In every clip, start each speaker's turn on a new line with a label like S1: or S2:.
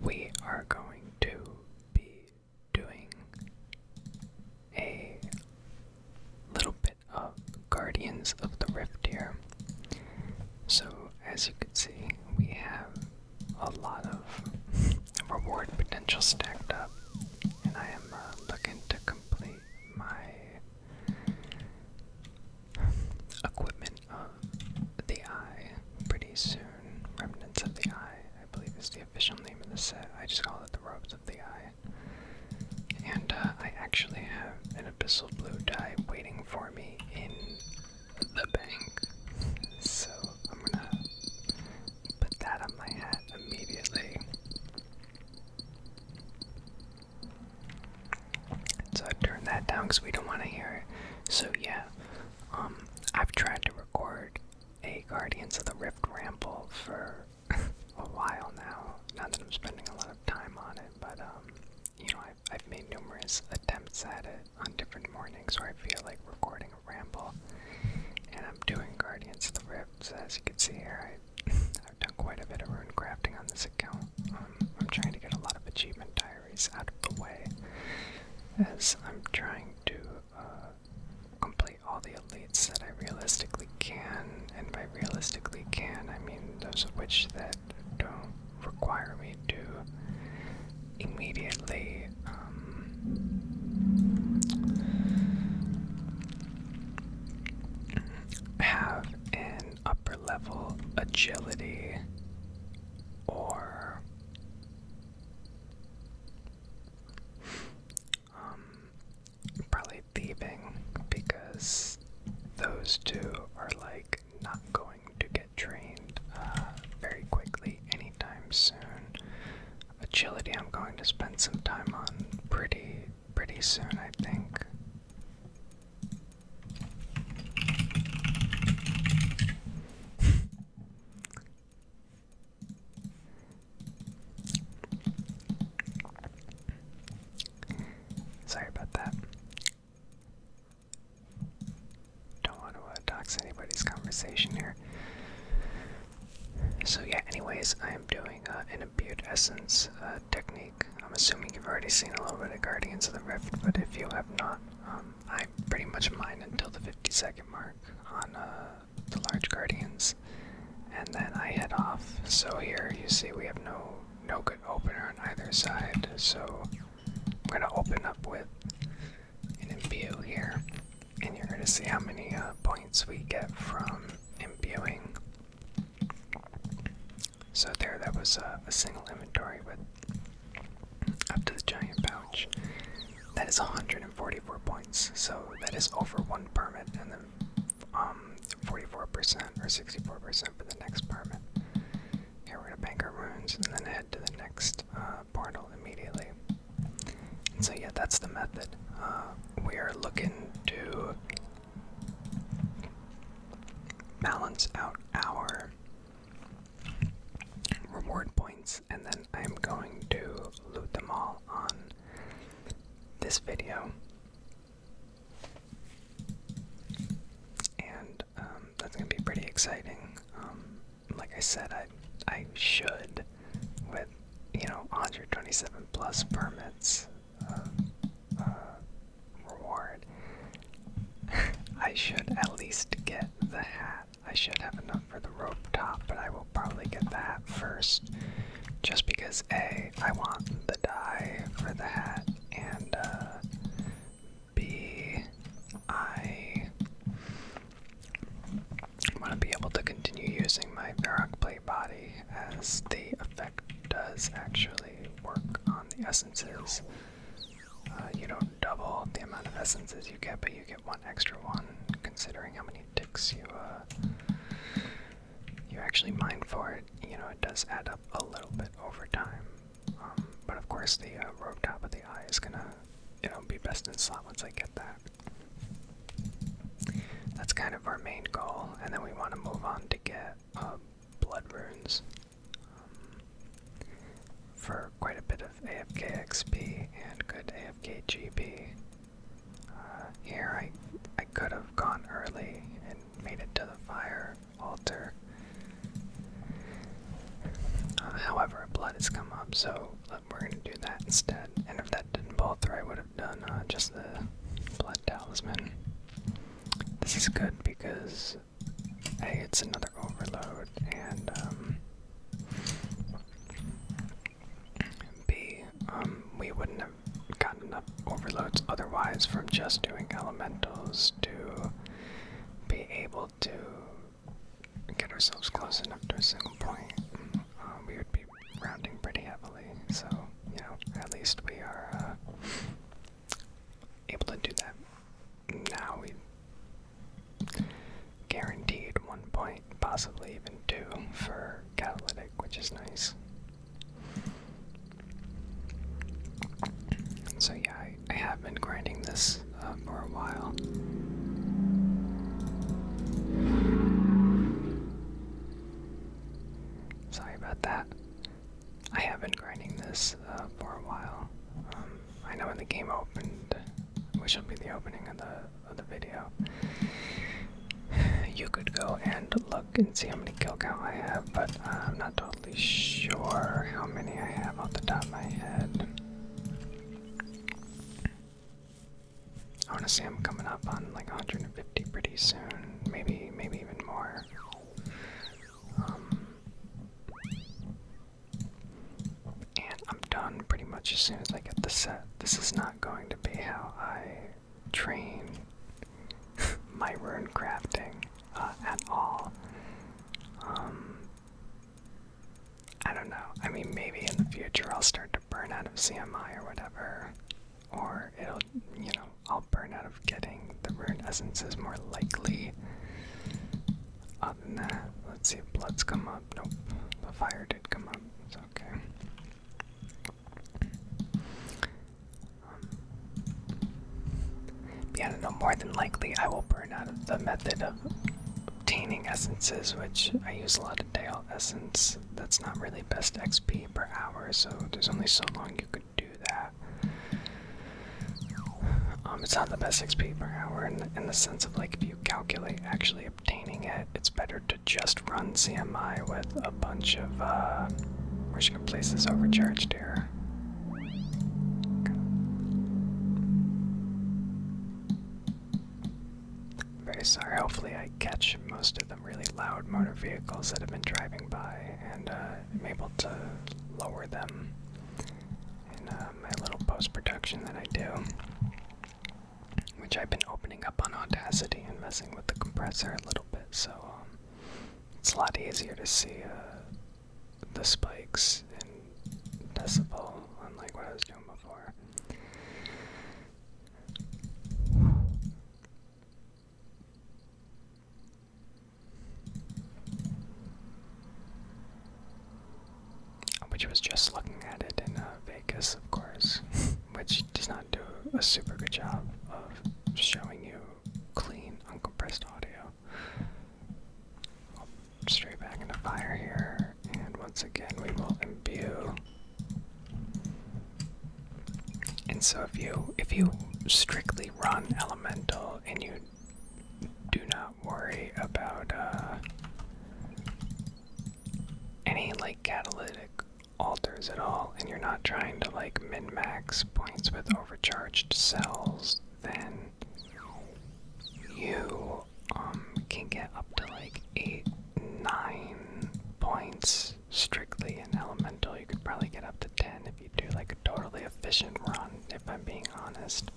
S1: We are going to be doing a little bit of Guardians of the Rift here. So, as you can see, we have a lot of reward potential stacked up, and I am uh, looking to complete my equipment of uh, the eye pretty soon. Remnants of the eye, I believe, is the official name of the set. I just call it the robes of the eye. And uh, I actually have an abyssal blue dye waiting for me in the bank. So I'm gonna put that on my hat immediately. So I've turned that down because we don't want to hear it. So yeah, um, I've tried to record a Guardians of the Rift ramble for a while now. Not that I'm spending a lot of time on it, but um, you know, I've, made numerous attempts at it on different mornings where I feel like recording a ramble. And I'm doing Guardians of the Rift, as you can see here, I, I've done quite a bit of rune crafting on this account. I'm trying to get a lot of achievement diaries out of the way as I'm trying to uh, complete all the elites that I realistically can, and by realistically can, I mean those of which that don't require me to immediately. Um, have an upper level agility or um, probably thieving because those two are like not going to get trained uh, very quickly anytime soon. Agility, I'm going to spend some time on pretty pretty soon, I think. Sorry about that. Don't want to uh, dox anybody's conversation here. So yeah, anyways, I am doing uh, an imbued essence uh, technique. I'm assuming you've already seen a little bit of Guardians of the Rift, but if you have not, um, I pretty much mine until the 50 second mark on uh, the large Guardians, and then I head off. So here you see we have no no good opener on either side, so we're gonna open up with an imbue here, and you're gonna see how many uh, points we get from imbuing. So there, that was uh, a single inventory with up to the giant pouch. That is 144 points, so that is over one permit, and then um 44% or 64% for the next permit. Okay, we're gonna bank our runes and then head to the next uh, portal immediately. so yeah, that's the method. Uh, we are looking to balance out our reward points, and then I'm going to loot them all on this video. And um, that's going to be pretty exciting. Um, like I said, I I should with you know 127 plus permits uh, uh, reward. I should at least get the hat. I should have enough for the rope top, but I will probably get the hat first. Just because A, I want the dye for the hat, and uh, B, I want to be able to continue using my Varrock plate body as the effect does actually work on the essences. Uh, you don't double the amount of essences you get, but you get one extra one, considering how many dicks you uh, you actually mine for it. You know, it does add up a little bit over time. Um, but of course, the uh, rope top of the eye is gonna, you know, be best in slot once I get that. That's kind of our main goal, and then we want to move on to get uh, blood runes. Um, for quite a bit of AFK XP and good AFK GB. Uh, here I I could have gone early and made it to the fire altar. Uh, however, blood has come up, so we're going to do that instead. And if that didn't pull through, I would have done uh, just the blood talisman. This is good because hey, it's another overload, and um, B, um, we wouldn't have gotten enough overloads otherwise from just doing elementals to be able to get ourselves close enough to a single point. Uh, we would be rounding pretty heavily, so you know, at least we are uh, able to do that. Now we've guaranteed one point, possibly even two, for catalytic, which is nice. so yeah, I, have been grinding this uh, for a while. Sorry about that. I have been grinding this uh, for a while. Um, I know when the game opened, which will be the opening of the of the video, you could go and look and see how many kill count I have, but I'm not totally sure how many I have off the top of my head. I want to say I'm coming up on like 150 pretty soon, maybe maybe even more. Um, and I'm done pretty much as soon as I get the set. This is not going to be how I train my rune crafting uh, at all. Um, I don't know. I mean, maybe in the future I'll start to burn out of CMI or whatever, or it'll, you know, I'll burn out of getting the rune essence is more likely. Other than that, let's see if bloods come up. Nope, the fire did come up. It's okay. Um, yeah, no more than likely I will burn out of the method of obtaining essences, which I use a lot of Dale essence. That's not really best XP per hour, so there's only so long you could do that. Um, it's not the best XP per hour in the, in the sense of like if you calculate actually obtaining it, it's better to just run CMI with a bunch of. Uh, we're overcharged here. Very sorry. Hopefully, I catch most of the really loud motor vehicles that have been driving by, and uh, I'm able to lower them in uh, my little post production that I do, which I've been opening up on Audacity and messing with the compressor a little bit, so um, it's a lot easier to see uh, the spikes in decibel, unlike what I was doing before. Which was just looking at it in uh, Vegas, of course, which does not do a super good job of showing you clean, uncompressed audio. straight back into fire here, and once again, we will imbue. And so, if you if you strictly run elemental and you do not worry about uh, any like catalytic alters at all, and you're not trying to like min max points with overcharged cells, then you um, can get up to like eight, nine points strictly in elemental. You could probably get up to 10 do like a totally efficient run, if I'm being honest.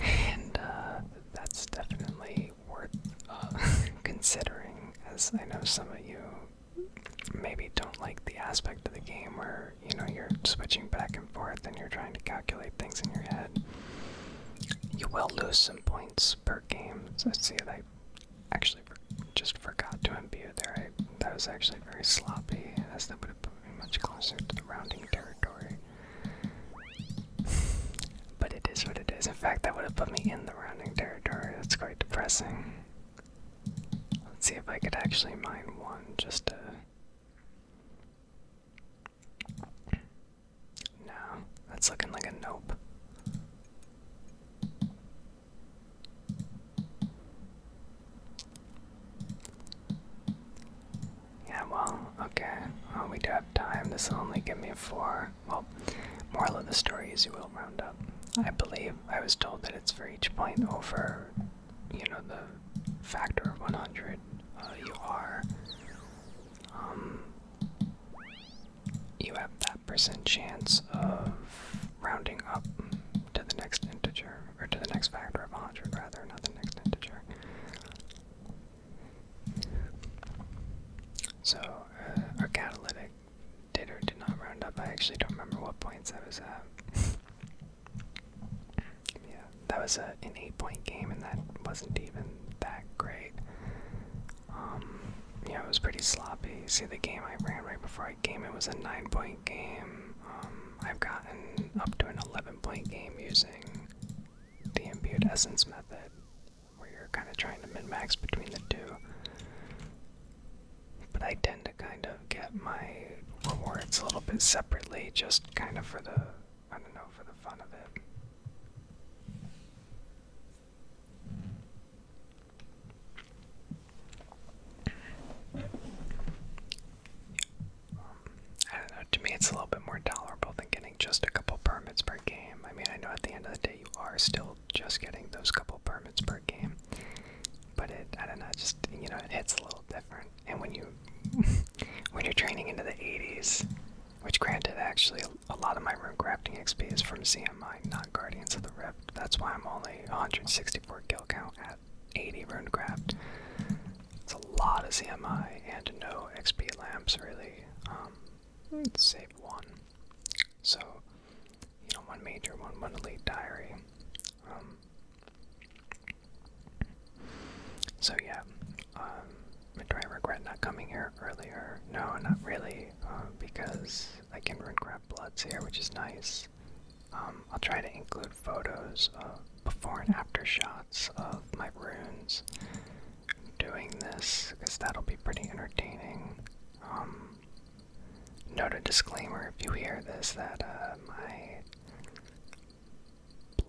S1: And uh, that's definitely worth uh, considering, as I know some of you maybe don't like the aspect of the game where you know you're switching back and forth and you're trying to calculate things in your head. You will lose some points per game. So see, like actually just forgot to imbue there. I, that was actually very sloppy, as that would have put me much closer to the rounding territory. but it is what it is. In fact, that would have put me in the rounding territory. That's quite depressing. Let's see if I could actually mine one just to. No, that's looking like a nope. Yeah, well, okay. Well, we do have time. This will only give me four. Well, moral of the story is you will round up. I believe I was told that it's for each point over, you know, the factor of 100. Uh, you are. Um, you have that percent chance of rounding up to the next integer, or to the next factor of 100 rather, not the next integer. So, uh, our catalytic did or did not round up. I actually don't remember what points I was at. yeah, that was a, an eight point game, and that wasn't even that great. Um, yeah, it was pretty sloppy. See, the game I ran right before game. It was a nine-point game. Um, I've gotten up to an eleven-point game using the imbued essence method, where you're kind of trying to mid max between the two. But I tend to kind of get my rewards a little bit separately, just kind of for the I don't know for the fun of it. I don't know, to me it's a little bit more tolerable than getting just a couple permits per game. I mean, I know at the end of the day you are still just getting those couple permits per game. But it, I don't know, just, you know, it hits a little different. And when you, when you're training into the 80s, which granted actually a lot of my room crafting XP is from CM am not Guardians of the Rift? That's why I'm only 164 kill count at 80 rune runecraft. It's a lot of CMI and no XP lamps really. Um, save one. So, you know, one major, one, one elite diary. Um, so yeah, um, do I regret not coming here earlier? No, not really, uh, because I can run runecraft bloods here, which is nice. Um, I'll try to include photos of before and after shots of my runes doing this, because that'll be pretty entertaining. Um, note a disclaimer if you hear this that uh, my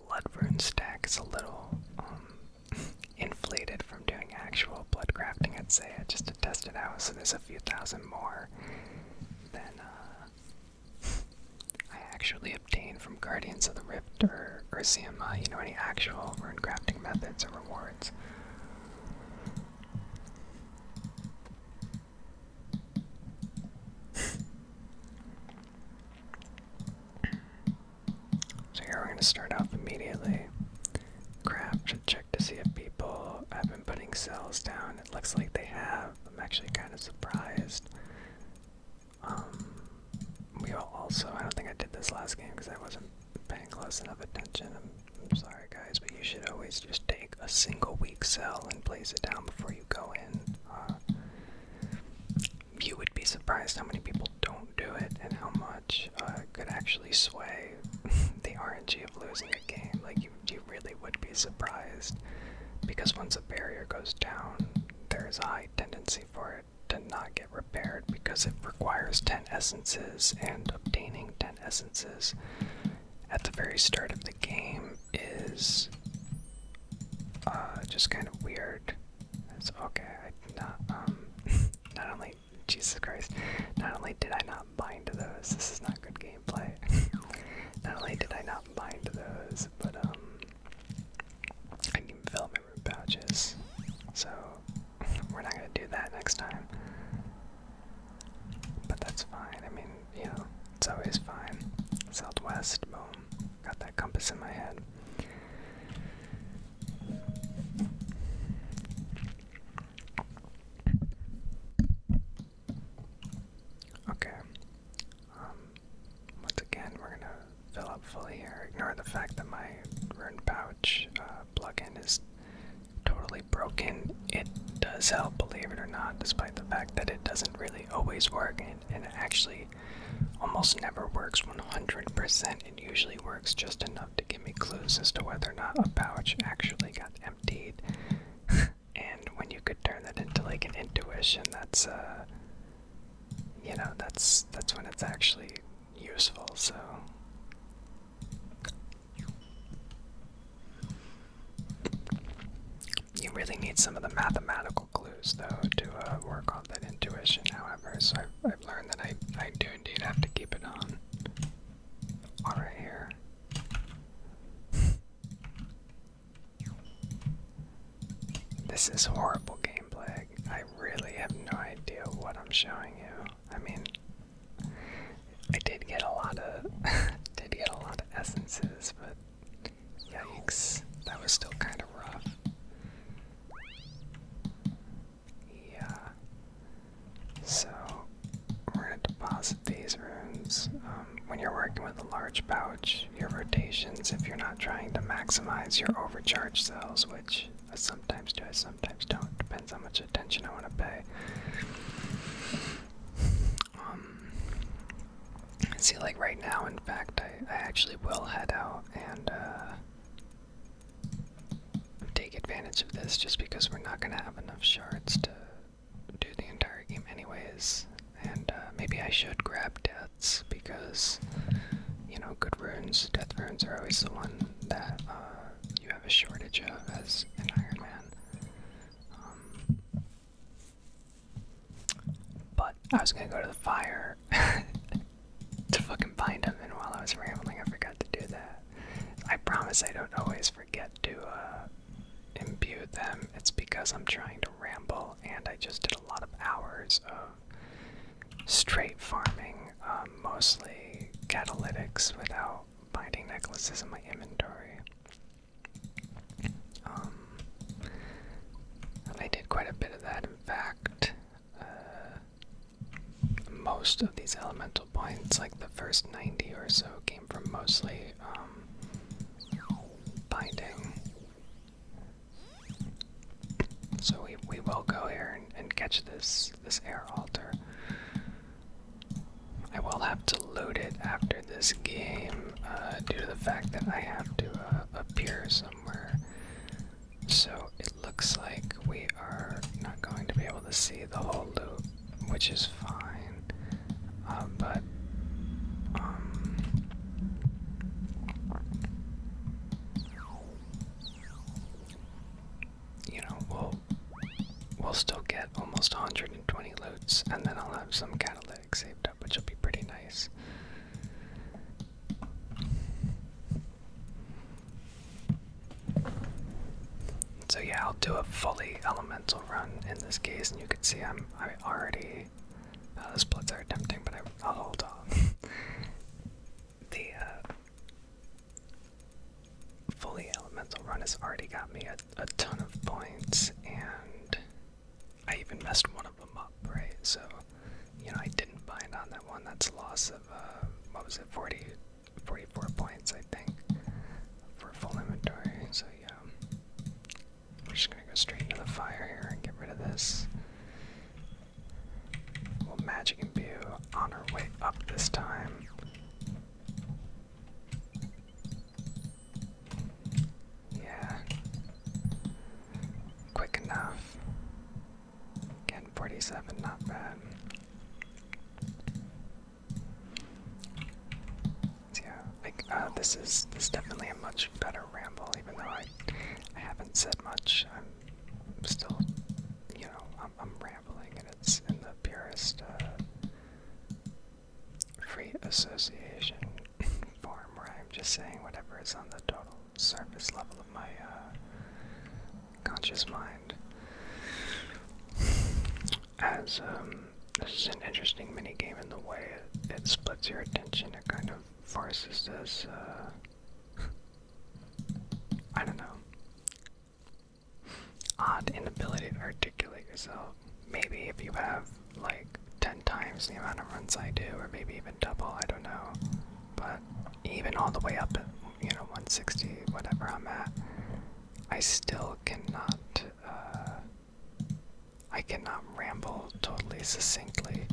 S1: blood rune stack is a little um, inflated from doing actual blood crafting, I'd say. I just to test it out, so there's a few thousand more than uh, I actually obtained from Guardians of the Rift or, or CMI, you know, any actual rune crafting methods or rewards. So here we're going to start off immediately. Craft a to see if people have been putting cells down. It looks like they have. I'm actually kind of surprised. Um, we also, I don't think I did this last game because I wasn't paying close enough attention. I'm, sorry, guys, but you should always just take a single weak cell and place it down before you go in. Uh, you would be surprised how many people don't do it and how much uh, could actually sway the RNG of losing a game. Like, you you, really would be surprised because once a barrier goes down, there is a high tendency for it to not get repaired because it requires 10 essences, and obtaining 10 essences at the very start of the game is uh, just kind of weird. It's okay, not, um, not only Jesus Christ. Not only did I not bind to those, this is not good gameplay. not only did I not bind to those, but um I can fill my root pouches. So we're not gonna do that next time. But that's fine. I mean, you know, it's always fine. Southwest, boom. Got that compass in my head. Okay. Um, once again, we're gonna fill up fully here. Ignore the fact that my ruined pouch uh, plug-in is totally broken. It does help, believe it or not, despite the fact that it doesn't really always work, and, it actually almost never works 100%. It usually works just enough to give me clues as to whether or not a pouch actually got emptied. and when you could turn that into like an intuition, that's uh you know, that's that's when it's actually useful, so you really need some of the mathematical clues, though, to uh, work on that intuition, however, so I've, I've learned that I, I do indeed have to keep it on. All right, here this is horrible gameplay. I really have no idea what I'm showing you. I mean, I did get a lot of, did get a lot of essences, but yikes, that was still kind of rough. Yeah, so we're going to deposit these runes. Um, when you're working with a large pouch, your rotations, if you're not trying to maximize your overcharge cells, which I sometimes do, I sometimes don't, depends how much attention I want to pay. Um, see, like right now, in fact, I, actually will head out and uh, take advantage of this just because we're not going to have enough shards to do the entire game anyways. And uh, maybe I should grab deaths because, you know, good runes, death runes are always the one that uh, you have a shortage of as an Iron Man. Um, but I was going to go to the fire to fucking find him, and while I was rambling, I forgot to do that. I promise I don't always Get to uh, imbue them, it's because I'm trying to ramble and I just did a lot of hours of straight farming, um, mostly catalytics without binding necklaces in my inventory. Um, I did quite a bit of that, in fact. Uh, most of these elemental Points, like the first 90 or so, came from mostly um, binding. So we, we will go here and, catch this, this air altar. I will have to loot it after this game uh, due to the fact that I have to uh, appear somewhere. So it looks like we are not going to be able to see the whole loop which is fine. Uh, but um, you know, we'll we'll still get almost 120 loots, and then I'll have some catalytic saved up, which will be pretty nice. So yeah, I'll do a fully elemental run in this case, and you can see I'm I already. Uh, the are tempting, but I, will hold on. the uh, fully elemental run has already got me a, ton of points, and I even messed one of them up, right? So, you know, I didn't bind on that one. That's a loss of uh, what was it, forty 44 points, I think, for full inventory. So, yeah. We're just gonna go straight into the fire here and get rid of this. Well, Magic and View on our way up this time. Yeah. Quick enough. Again, 47, not bad yeah, uh, this is this definitely a much better ramble, even though I I haven't said much. I'm still, you know, I'm, I'm rambling, and it's in the purest uh, free association form where I'm just saying whatever is on the total surface level of my uh, conscious mind. As um, this is an interesting mini game in the way it, it splits your attention. It kind of forces this. Uh, I don't know. Odd inability to articulate yourself. Maybe if you have like ten times the amount of runs I do, or maybe even double. I don't know. But even all the way up at you know 160, whatever I'm at, I still cannot. Uh, I cannot ramble totally succinctly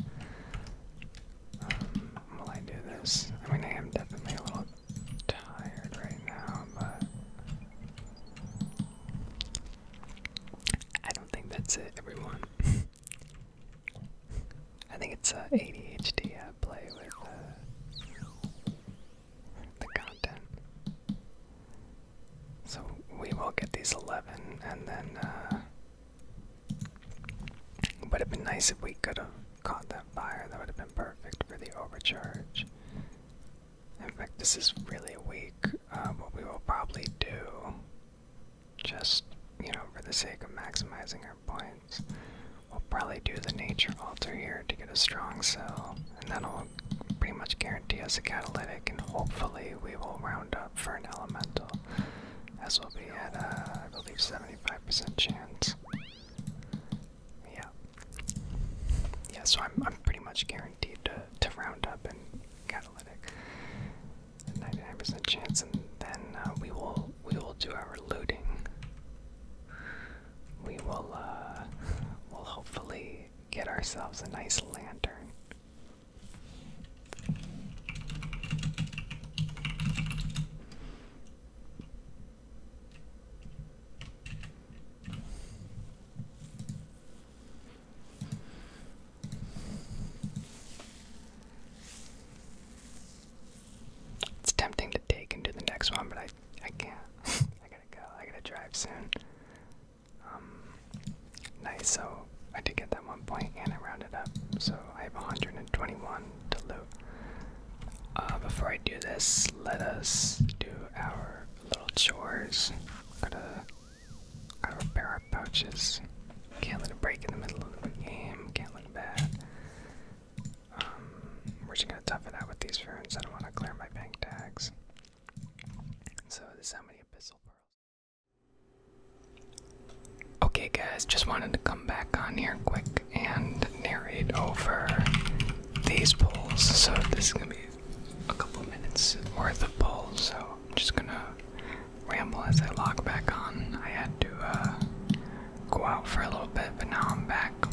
S1: um, I do this. I mean, I am definitely a little tired right now, but I don't think that's it, everyone. I think it's uh, ADHD at play with uh, the content. So we will get these 11, and then, uh, would have been nice if we could have caught that fire. That would have been perfect for the overcharge. In fact, this is really weak. Uh, what we will probably do, just, you know, for the sake of maximizing our points. We'll probably do the nature altar here to get a strong sell, and that'll pretty much guarantee us a catalytic, and hopefully we will round up for an elemental, as we'll be at, uh, believe, 75% chance. Yeah. Yeah, so I'm, I'm pretty much guaranteed to, to round up and catalytic. 99% chance, and then uh, we will we will do our looting we will uh will hopefully get ourselves a nice lantern. It's tempting to take into the next one, but I I can't. I gotta go. I gotta drive soon. Um, nice. So I did get that one point, and I rounded up. So I have 121 to loot. Uh, before I do this, let us do our little chores. Gotta gotta repair our pouches. Can't let it break in the middle of the game. Can't look bad. Um, we're just gonna tough it out with these runes. I don't want to clear my bank tags. So how many abyssal pearls. Okay, guys, just wanted to come back on here quick and narrate over these pulls. So this is gonna be a couple minutes worth of pulls. So I'm just gonna ramble as I log back on. I had to uh, go out for a little bit, but now I'm back.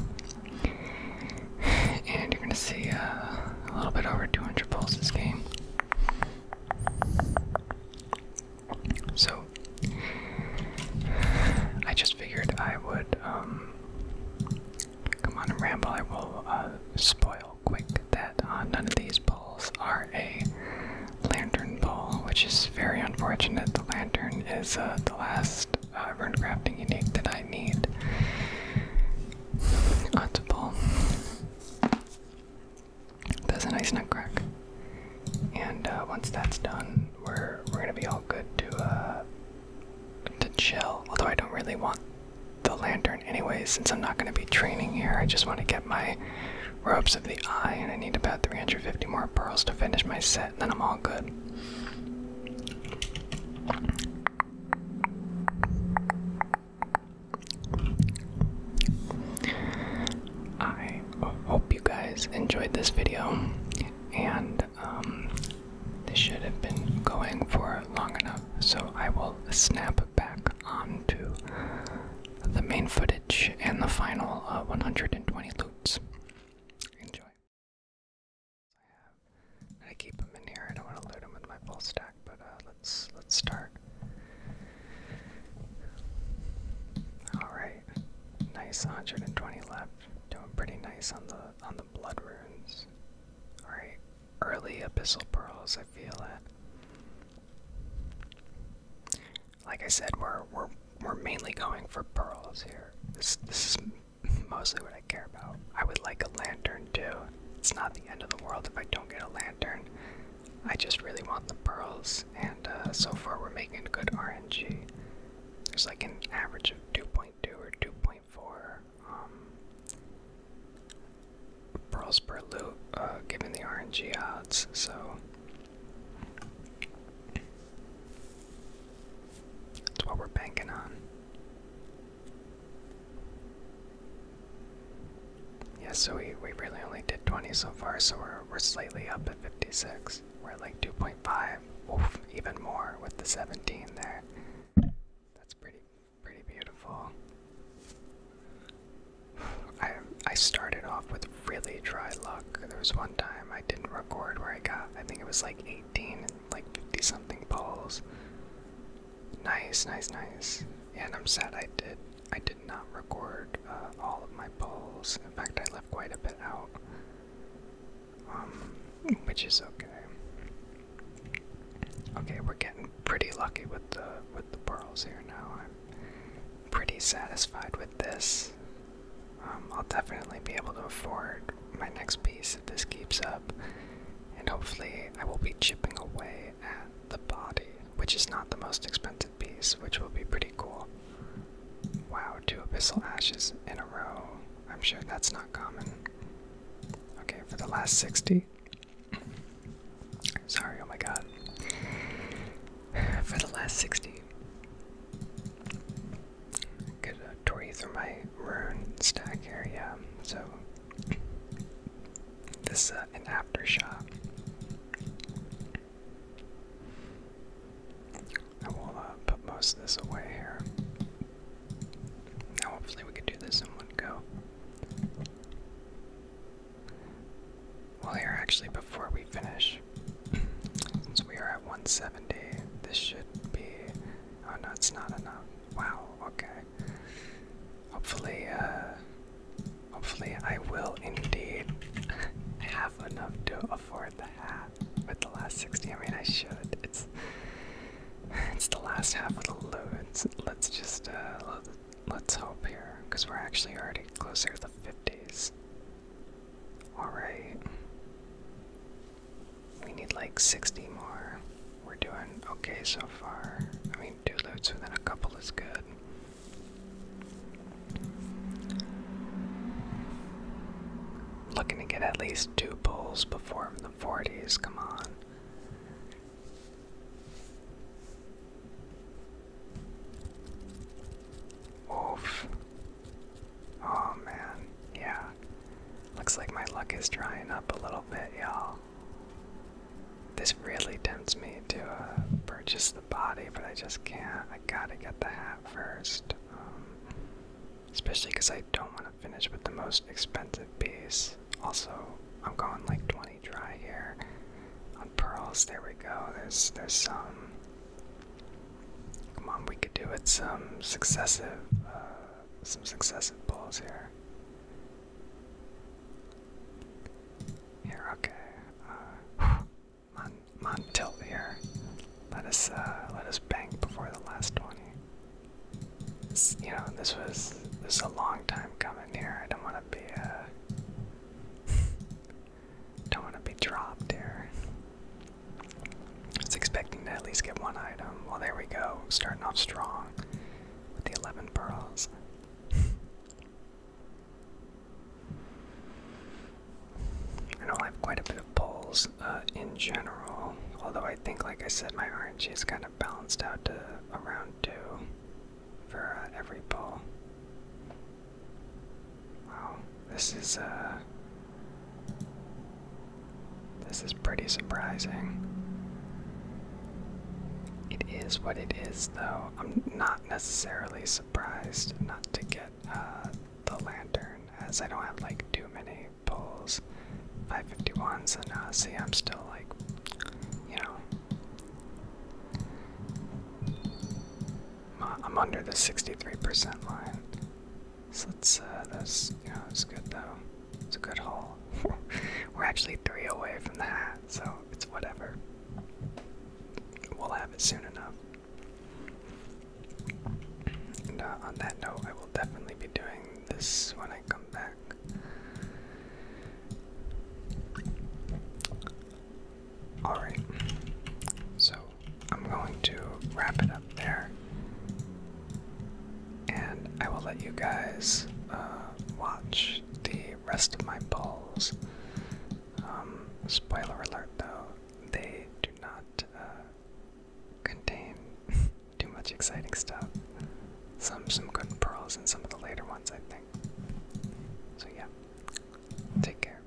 S1: And you're gonna see uh, a little bit over 200 pulls this game. So I just figured I would um, come on and ramble. I will uh, spoil quick that uh, none of these balls are a lantern ball, which is very unfortunate. The lantern is uh, the last I've uh, crafting unique that I need. Odds ball. That's a nice nutcrack. And uh, once that's done, we're we're gonna be all good to uh to chill. Although I don't really want the lantern anyway, since I'm not gonna be training here. I just want to get my robes of the eye, and I need about 350 more pearls to finish my set. Then I'm all good. I hope you guys enjoyed this video, and um, this should have been going for long enough, so I will snap back onto the main footage and the final uh, 120 loops. Enjoy. I am gonna keep them in here. I don't want to load them with my full stack, but uh, let's let's start. All right, nice 120 left. Doing pretty nice on the on the blood runes. All right, early epistle pearls. I feel it. Like I said, we're we're we're mainly going for pearls here. This this is mostly what I care about. I would like a lantern too. It's not the end of the world if I don't get a lantern. I just really want the pearls, and uh, so far we're making good RNG. There's like an average of 2.2 or 2.4 um, pearls per loot, uh, given the RNG odds, so that's what we're banking on. Yeah, so we, we really only did 20 so far, so we're, we're slightly up at 56. We're like 2.5. Oof, even more with the 17 there. That's pretty pretty beautiful. I I started off with really dry luck. There was one time I didn't record where I got I think it was like 18 like 50 something balls. Nice, nice, nice. and I'm sad I did. I did not record uh, all of my balls. In fact, I left quite a bit out, um, which is okay. Okay, we're getting pretty lucky with the with the pearls here now. I'm pretty satisfied with this. Um, I'll definitely be able to afford my next piece if this keeps up, and hopefully, I will be chipping away at the body, which is not the most expensive piece, which will be pretty cool. Wow, two abyssal ashes in a row. I'm sure that's not common. Okay, for the last 60. Sorry, oh my god. For the last 60. Could a tour through my rune stack here, yeah. So this is uh, an aftershock. I will uh, put most of this away here. Now, hopefully, we could do this in one go. Well, here, actually, before we finish, so we are at 170, this should be. Oh no, it's not enough. Wow, okay. Hopefully, uh. Hopefully, I will indeed have enough to afford the hat with the last 60. I mean, I should. It's it's the last half of the loot. Let's just uh, let's hope here, because we're actually already closer to the 50s. All right. We need like 60 more. We're doing okay so far. I mean, two loots within a couple is good. Looking to get at least two pulls before the 40s, come on. Oof. Oh man, yeah. Looks like my luck is drying up a little bit, y'all. This really tempts me to uh, purchase the body, but I just can't. I gotta get the hat first. Um, especially because I don't want to finish with the most expensive piece. Also, I'm going like 20 dry here on pearls. There we go. There's there's um. Come on, we could do it some successive, uh, some successive balls here. Here, okay. Uh, on, Let us, uh, let us bank before the last twenty. you know, this was this a long time coming here. I don't want to be. Uh, don't want to be dropped here. was expecting to at least get one item. Well, there we go. Starting off strong with the 11 pearls. I know I have quite a bit of pulls uh, in general, although I think, like I said, my RNG is kind of balanced out to around two for uh, every pull. Wow, this is uh this is pretty surprising. It is what it is though. I'm not necessarily surprised not to get uh the lantern as I don't have like too many pulls. 551s and uh see I'm still like you know I'm under the 63% line. So it's, us uh, that's, you know, it's good though. It's a good haul. We're actually three away from that, so it's whatever. We'll have it soon enough. And uh, on that note, I will definitely be doing this when I come back. Alright, so I'm going to wrap it up there. And I will let you guys uh, watch the rest of my balls. Um, spoiler alert though, they do not uh, contain too much exciting stuff. Some some good pearls in some of the later ones I think. So yeah. Take care.